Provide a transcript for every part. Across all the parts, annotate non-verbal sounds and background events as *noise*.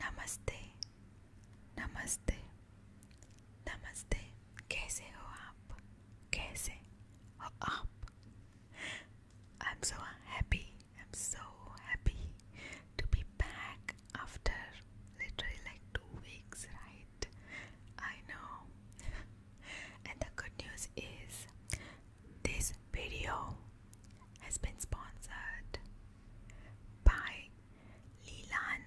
Namaste. Namaste. Namaste. कैसे हो आप कैसे हो आप I'm so happy I'm so happy to be back after literally like two weeks right I know and the good news is this video has been sponsored by Leelan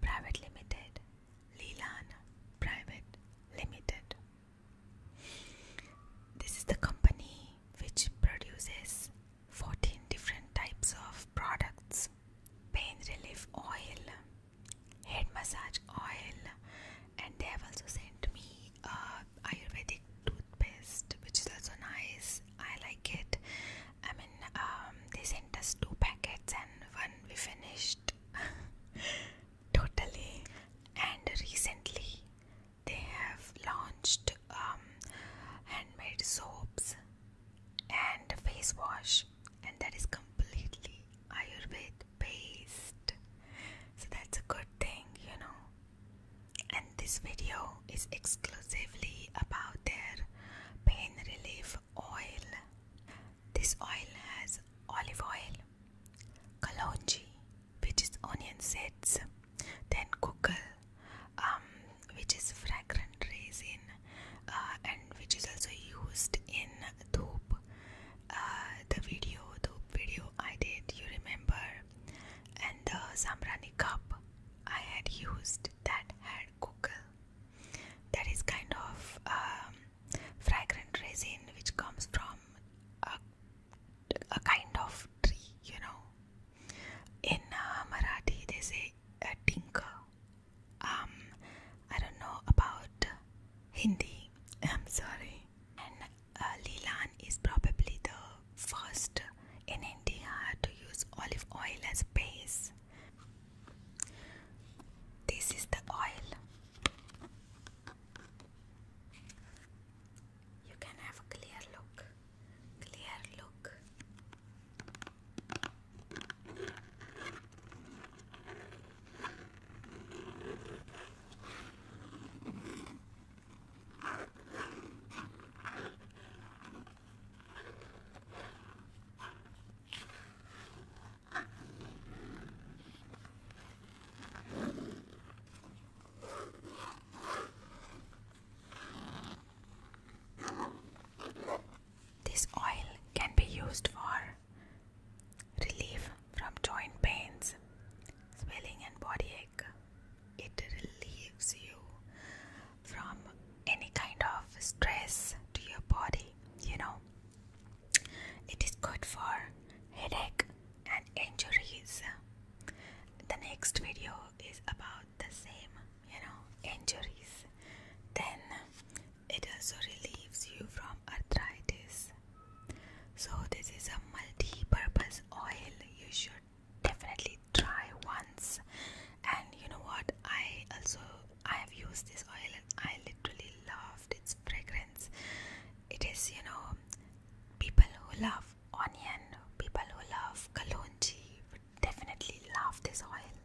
Private Limited. Leelan Private Limited. This is the company which produces 14 different types of products pain relief oil, head massage oil, and they have also sent me uh, Ayurvedic toothpaste, which is also nice. I like it. I mean, um, they sent us two packets, and one we finished *laughs* totally. And recently, they have launched um, handmade soaps and face wash, and that is completely Ayurvedic based. So that's a good thing, you know and this video is exclusively about their pain relief oil. This oil has olive oil, kalonji, which is onion seeds, then kukal, um, which is fragrant resin, uh, and which is also used in Dhoop. Uh, the video, Dhoop video I did, you remember and the zambrani cup I had used that had kukul. That is kind of um, fragrant resin which comes from a, a kind of tree, you know. In uh, Marathi, they say a tinker. Um, I don't know about Hindi. I'm sorry. Uh, Lilan is probably the first in India to use olive oil as base. This is the oil. You can have a clear look. Clear look. This oil can be used for relief from joint pains, swelling, and body aches it relieves you from any kind of stress to your body, you know. It is good for headache and injuries. The next video is about the same, you know, injuries. Then it also relieves you from arthritis. So, this is a multi purpose oil you should definitely try once and you know what i also i have used this oil and i literally loved its fragrance it is you know people who love onion people who love kalonji would definitely love this oil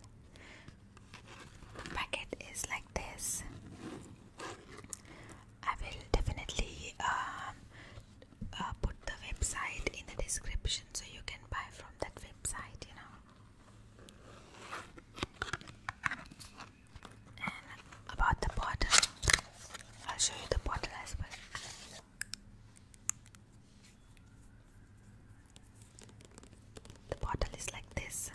The packet is like this i will definitely um, uh, put the website in the description so you can buy from that website, you know. And about the bottle, I'll show you the bottle as well. The bottle is like this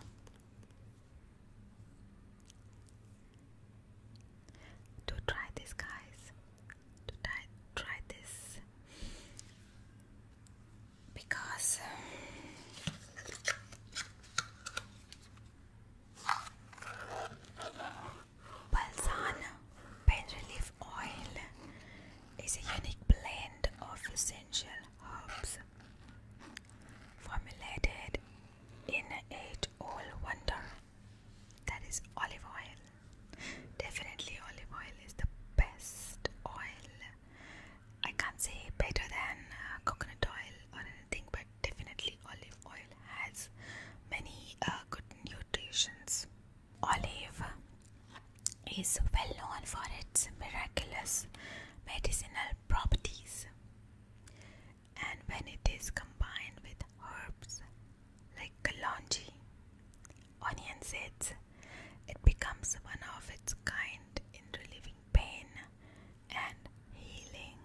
to try this guys to try, try this because Balzan Pain Relief Oil is a unique blend of essential herbs formulated in a age old wonder that is olive oil. Definitely, olive oil is the best oil. I can't say better than uh, coconut oil or anything, but definitely, olive oil has many uh, good nutrients. Olive is well known for its miraculous medicinal properties and when it is combined with herbs like kalonji, onion seeds, it becomes one of its kind in relieving pain and healing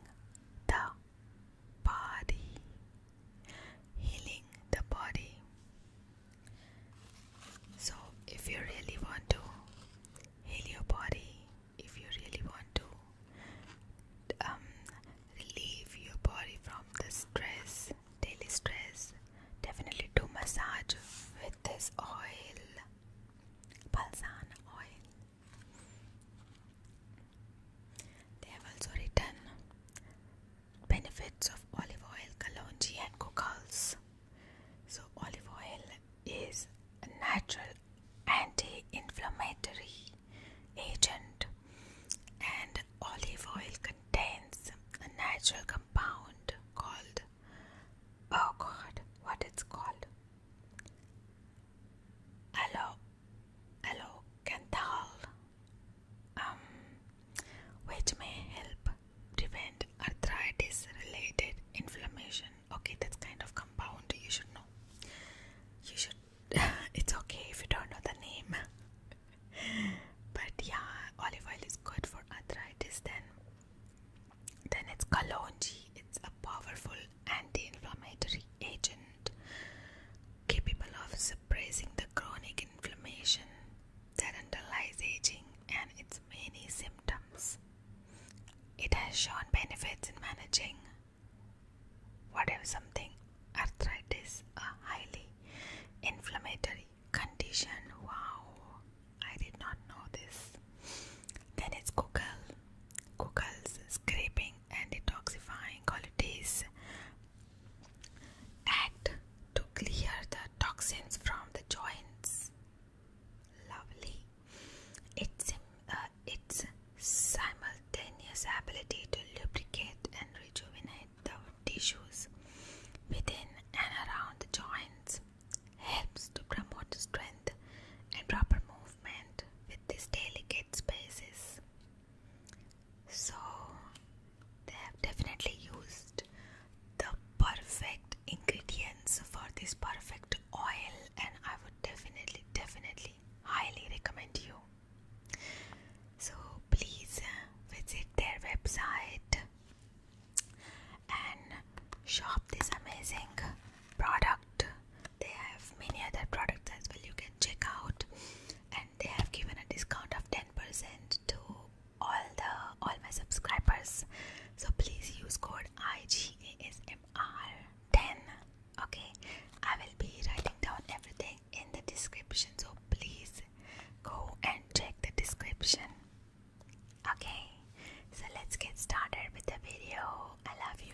the body. Healing the body. So, if you really want to heal your body, if you really want to relieve um, your body from the stress, daily stress. Definitely do massage with this oil, balsan oil. They have also written benefits of olive oil, kalonji, and cockles. So, olive oil is a natural anti inflammatory agent, and olive oil contains a natural compound called oh god, what it's called? Alo alocanthal, um, which may help prevent arthritis related inflammation. Okay, that's kind of compound you should know. You should it's okay if you don't know the name. but yeah, olive oil is good for arthritis then. Then it's kalonji. It's a powerful anti-inflammatory agent capable of suppressing the chronic inflammation that underlies aging and its many symptoms. It has shown benefits in managing what something arthritis, a highly inflammatory condition? Wow, I did not know this. Then it's Google. Google's scraping and detoxifying qualities act to clear the toxins from the joints. Lovely. It uh, its simultaneous ability to lubricate and rejuvenate the tissues within and around the joints helps to promote strength and proper movement with these delicate spaces. So, they have definitely used the perfect ingredients for this perfect oil, and I would definitely, definitely highly recommend you so please uh, visit their website and shop this amazing product. They have many other products as well you can check out and they have given a discount of 10% to all the all my subscribers. So please use code IGASMR 10. Okay, I will be writing down everything in the description, so please go and check the description. Okay, so let's get started with the video. I love you.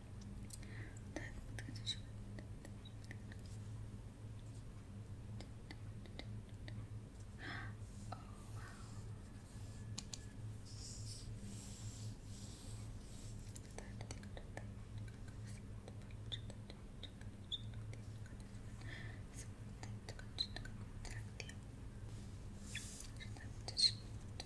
wow. Şimdi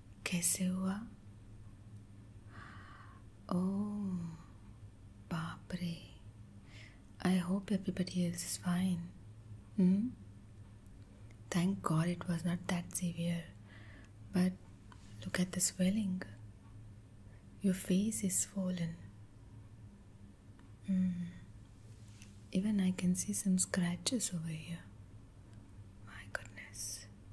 कैसे हुआ ओ बाप रे I hope everybody else is fine thank god it was not that severe but look at the swelling your face is swollen. Mm. Even I can see some scratches over here. My goodness.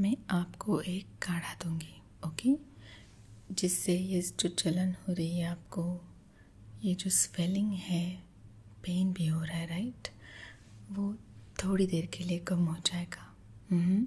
मैं आपको एक काढ़ा दूंगी okay जिससे ये जो चलन हो रही है आपको ये जो स्वेलिंग है पेन भी हो रहा है राइट वो थोड़ी देर के लिए कम हो जाएगा हम्म।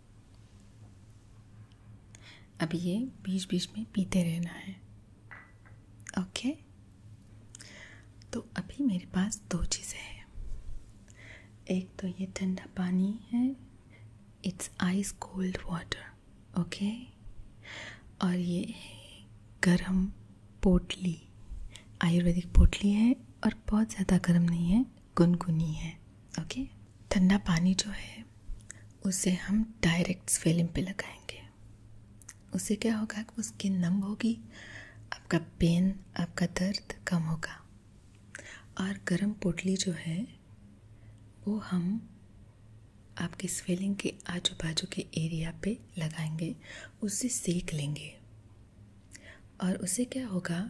अब ये बीच बीच में पीते रहना है ओके तो अभी मेरे पास दो चीज़ें हैं एक तो ये ठंडा पानी है it's ice cold water okay और ये है गरम पोटली आयुर्वेदिक पोटली है और बहुत ज़्यादा गर्म नहीं है गुनगुनी है ओके ठंडा पानी जो है उसे हम डायरेक्ट स्वेलिंग पे लगाएंगे उसे क्या होगा कि वो स्किन नम होगी आपका पेन आपका दर्द कम होगा और गर्म पोटली जो है वो हम आपके स्वेलिंग के आजू बाजू के एरिया पे लगाएंगे उसे सेक लेंगे और उसे क्या होगा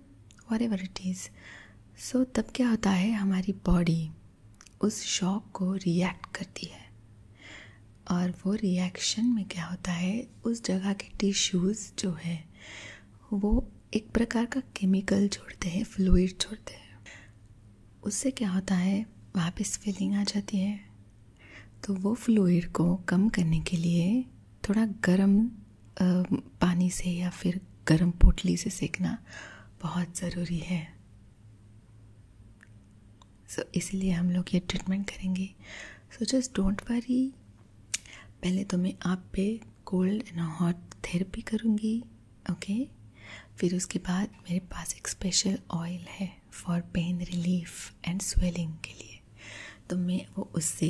whatever it is so तब क्या होता है हमारी बॉडी उस शॉक को रिएक्ट करती है और वो रिएक्शन में क्या होता है उस जगह के टिश्यूज़ जो है वो एक प्रकार का केमिकल छोड़ते हैं फ्लूड छोड़ते हैं उससे क्या होता है वापस फीलिंग आ जाती है तो वो फ्लूड को कम करने के लिए थोड़ा गर्म पानी से या फिर गर्म पोटली से सेकना बहुत ज़रूरी है सो so, इसलिए हम लोग ये ट्रीटमेंट करेंगे सो जस्ट डोंट वरी पहले तो मैं आप पे कोल्ड एंड हॉट थेरेपी करूँगी ओके okay? फिर उसके बाद मेरे पास एक स्पेशल ऑयल है for pain relief and swelling के लिए तो मैं वो उससे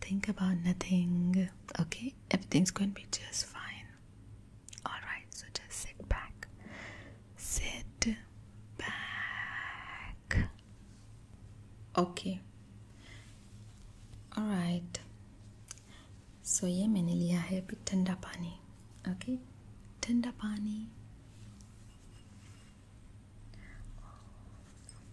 Think about nothing, okay? Everything's going to be just fine. Alright, so just sit back. Sit back. Okay. Alright. सो ये मैंने लिया है अभी ठंडा पानी ओके ठंडा पानी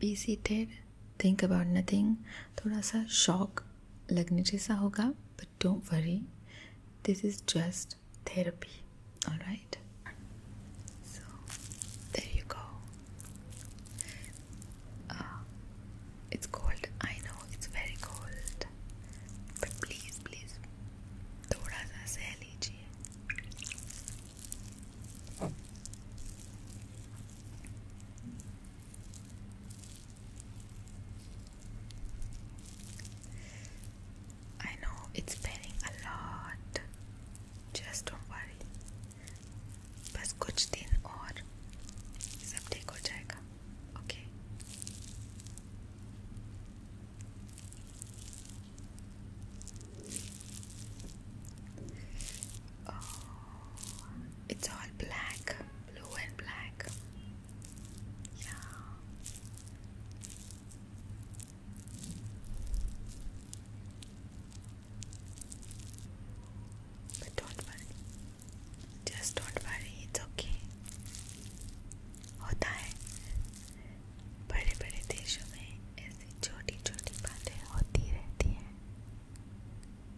be seated think about nothing थोड़ा सा शॉक लगने जैसा होगा but don't worry this is just therapy all right I know it's pairing a lot, just don't worry. बस कुछ दिन और सब ठीक हो जाएगा, okay? Oh. It's all black, blue and black. Yeah. But don't worry. Just don't worry, it's okay. होता है बड़े बड़े देशों में ऐसी छोटी छोटी बातें होती रहती हैं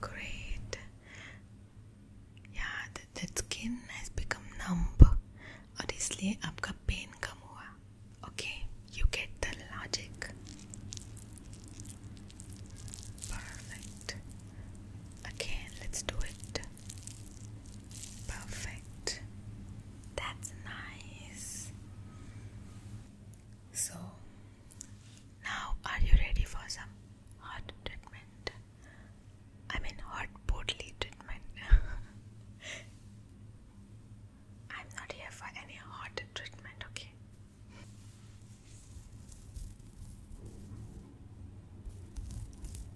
Great. Yeah, that, that skin has become numb और इसलिए आपका पेन कम हुआ okay you get the logic Perfect. Again, let's do it. Perfect. That's nice. So, now are you ready for some hot treatment? I mean, hot portly treatment. *laughs* I'm not here for any hot treatment, okay?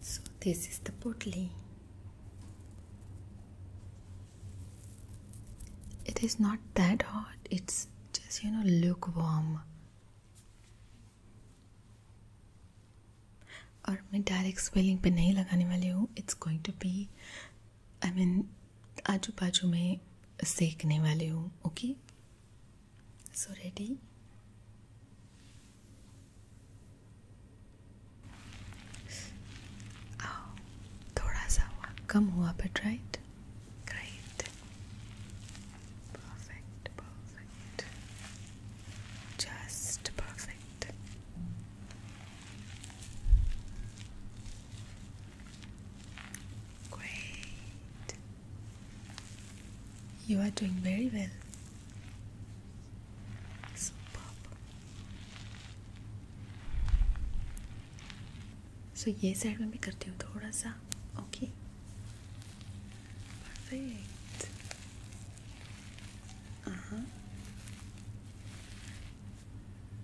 So this is the potli. It is not that hot, it's just you know lukewarm. और मैं direct swelling पे नहीं लगाने वाली हूँ it's going to be I mean आजू बाजू में सेकने वाली हूँ ओके So ready? Oh, थोड़ा सा हुआ कम हुआ but right great perfect perfect just perfect great you are doing very well. Superb. So so, ये साइड में भी करती हूँ थोड़ा सा ओके परफेक्ट हाँ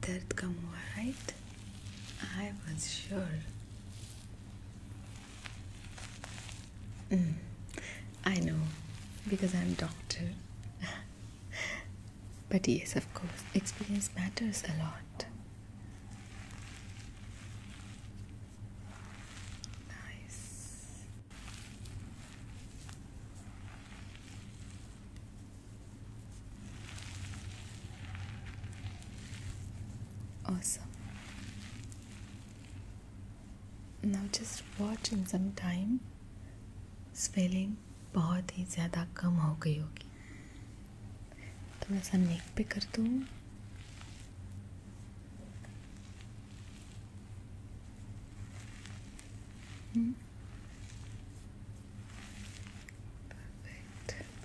दर्द कम हुआ right I was sure Mm. I know, because I'm doctor. *laughs* but yes, of course, experience matters a lot. Nice. Awesome. now just watch in some time swelling बहुत ही ज़्यादा कम हो गई होगी थोड़ा सा नेक पे कर दूँ परफेक्ट हम्म।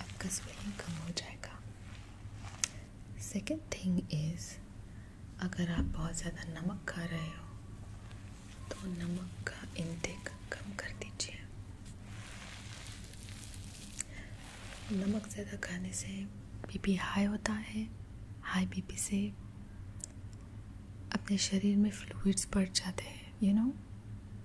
आपका स्वेलिंग कम हो जाएगा सेकेंड थिंग इज़ अगर आप बहुत ज़्यादा नमक खा रहे हो तो नमक का इनटेक कम कर दीजिए नमक ज़्यादा खाने से बीपी हाई होता है हाई बीपी से अपने शरीर में फ्लूइड्स बढ़ जाते हैं you know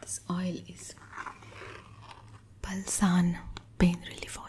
This oil is Balsan pain relief oil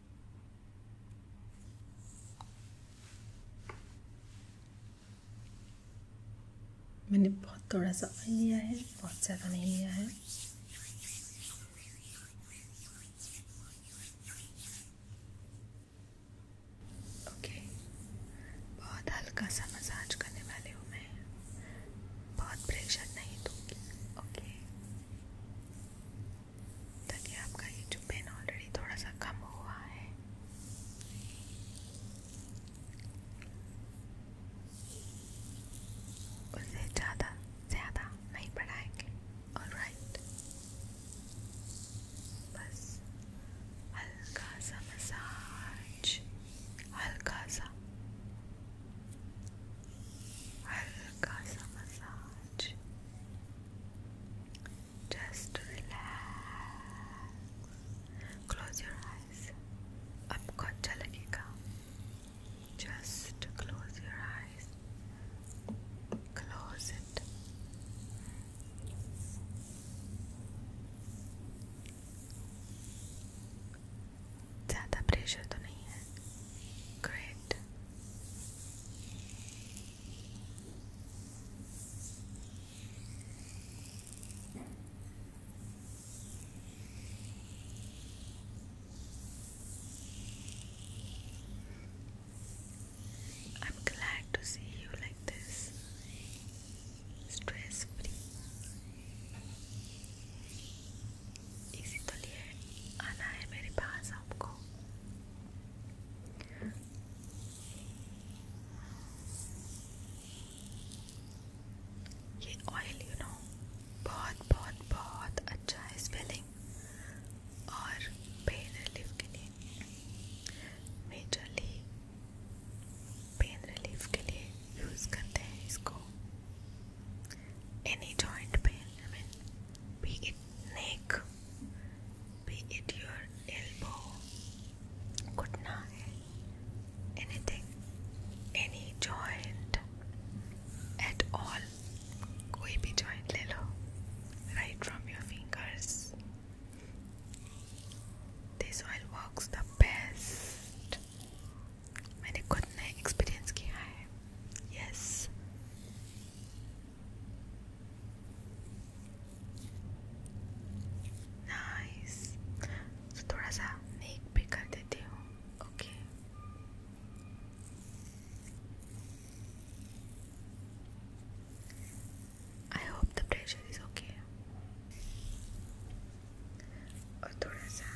मैंने बहुत थोड़ा सा ऑयल लिया है बहुत ज़्यादा नहीं लिया है ओके बहुत हल्का सा मसाज करने वाले हूँ मैं बहुत प्रेशर नहीं दूँगी ओके ताकि तो आपका ये जो पेन ऑलरेडी थोड़ा सा कम हुआ है उसे ज़्यादा ज़्यादा नहीं बढ़ाएंगे और राइट बस हल्का सा मसाज हल्का सा हल्का सा massage Just relax. Close your eyes. i आपको अच्छा लगेगा. Just close your eyes. Close it. ज़्यादा प्रेशर तो नहीं है. Great. I'm glad to see you like this, stress free. इसी तो लिए आना है मेरे पास आपको ये ऑयल यू नो बहुत बहुत बहुत अच्छा है स्वेलिंग और पेन रिलीफ के लिए मेजरली पेन रिलीफ के लिए यूज़ करते हैं इसको any joint pain, I mean, be it neck, be it your elbow, kutna, anything, any joint at all, koi bhi joint le right from your fingers. This oil works the best. मैंने खुद ने experience किया है nice तो थोड़ा सा नेक भी कर देती हूँ okay I hope the pressure is okay और थोड़ा सा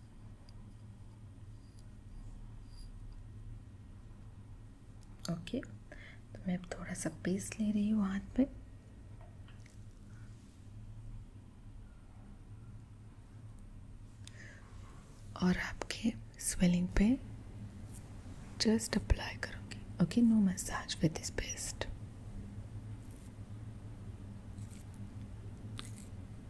ओके तो मैं अब थोड़ा सा पेस्ट ले रही हूँ हाथ पे और आपके स्वेलिंग पे जस्ट अप्लाई करोगे okay no massage with this paste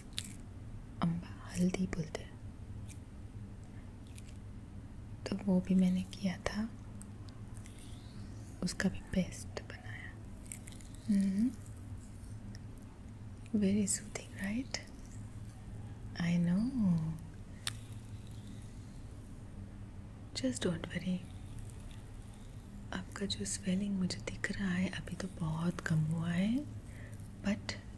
is अम्बा हल्दी बोलते हैं तो वो भी मैंने किया था उसका भी पेस्ट बनाया very soothing right I know just don't worry आपका जो स्वेलिंग मुझे दिख रहा है अभी तो बहुत कम हुआ है बट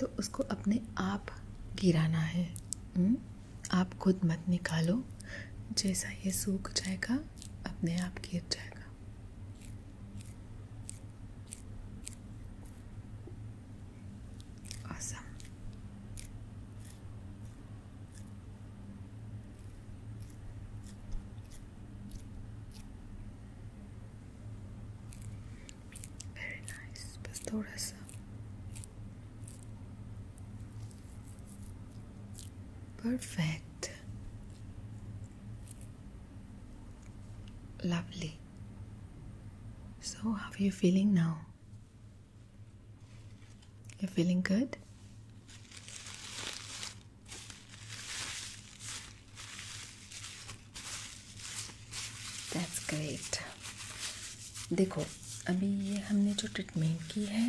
तो उसको अपने आप गिराना है हुँ? हम्म? आप खुद मत निकालो जैसा ये सूख जाएगा अपने आप गिर जाएगा very nice बस perfect lovely so how are you feeling now you're feeling good that's great देखो अभी ये हमने जो ट्रीटमेंट की है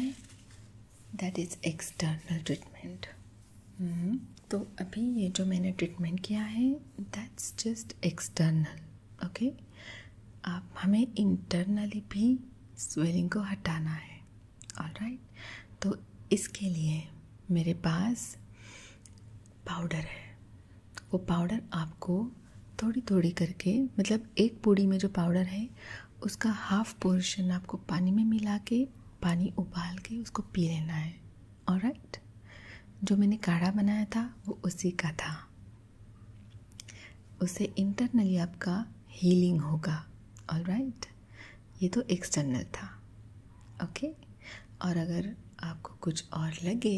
दैट इज़ एक्सटर्नल ट्रीटमेंट तो अभी ये जो मैंने ट्रीटमेंट किया है दैट्स जस्ट एक्सटर्नल ओके आप हमें इंटरनली भी स्वेलिंग को हटाना है ऑल राइट right? तो इसके लिए मेरे पास पाउडर है वो पाउडर आपको थोड़ी थोड़ी करके मतलब एक पूड़ी में जो पाउडर है उसका हाफ पोर्शन आपको पानी में मिला के पानी उबाल के उसको पी लेना है और राइट जो मैंने काढ़ा बनाया था वो उसी का था उसे इंटरनली आपका हीलिंग होगा और राइट ये तो एक्सटर्नल था ओके और अगर आपको कुछ और लगे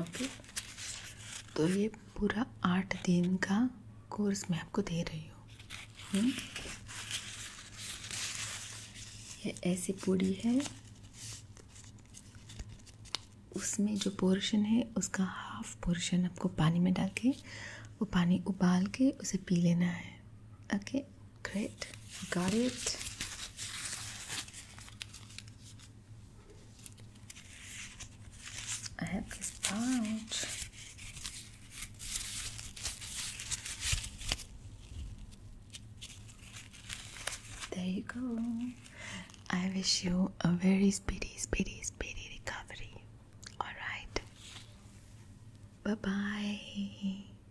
ओके तो ये पूरा आठ दिन का कोर्स मैं आपको दे रही हूँ हम्म। ये ऐसी पूड़ी है उसमें जो पोर्शन है उसका हाफ पोर्शन आपको पानी में डाल के वो पानी उबाल के उसे पी लेना है okay Great, got it. I have this pouch. There you go. I wish you a very speedy, speedy, speedy recovery. Alright. Bye bye.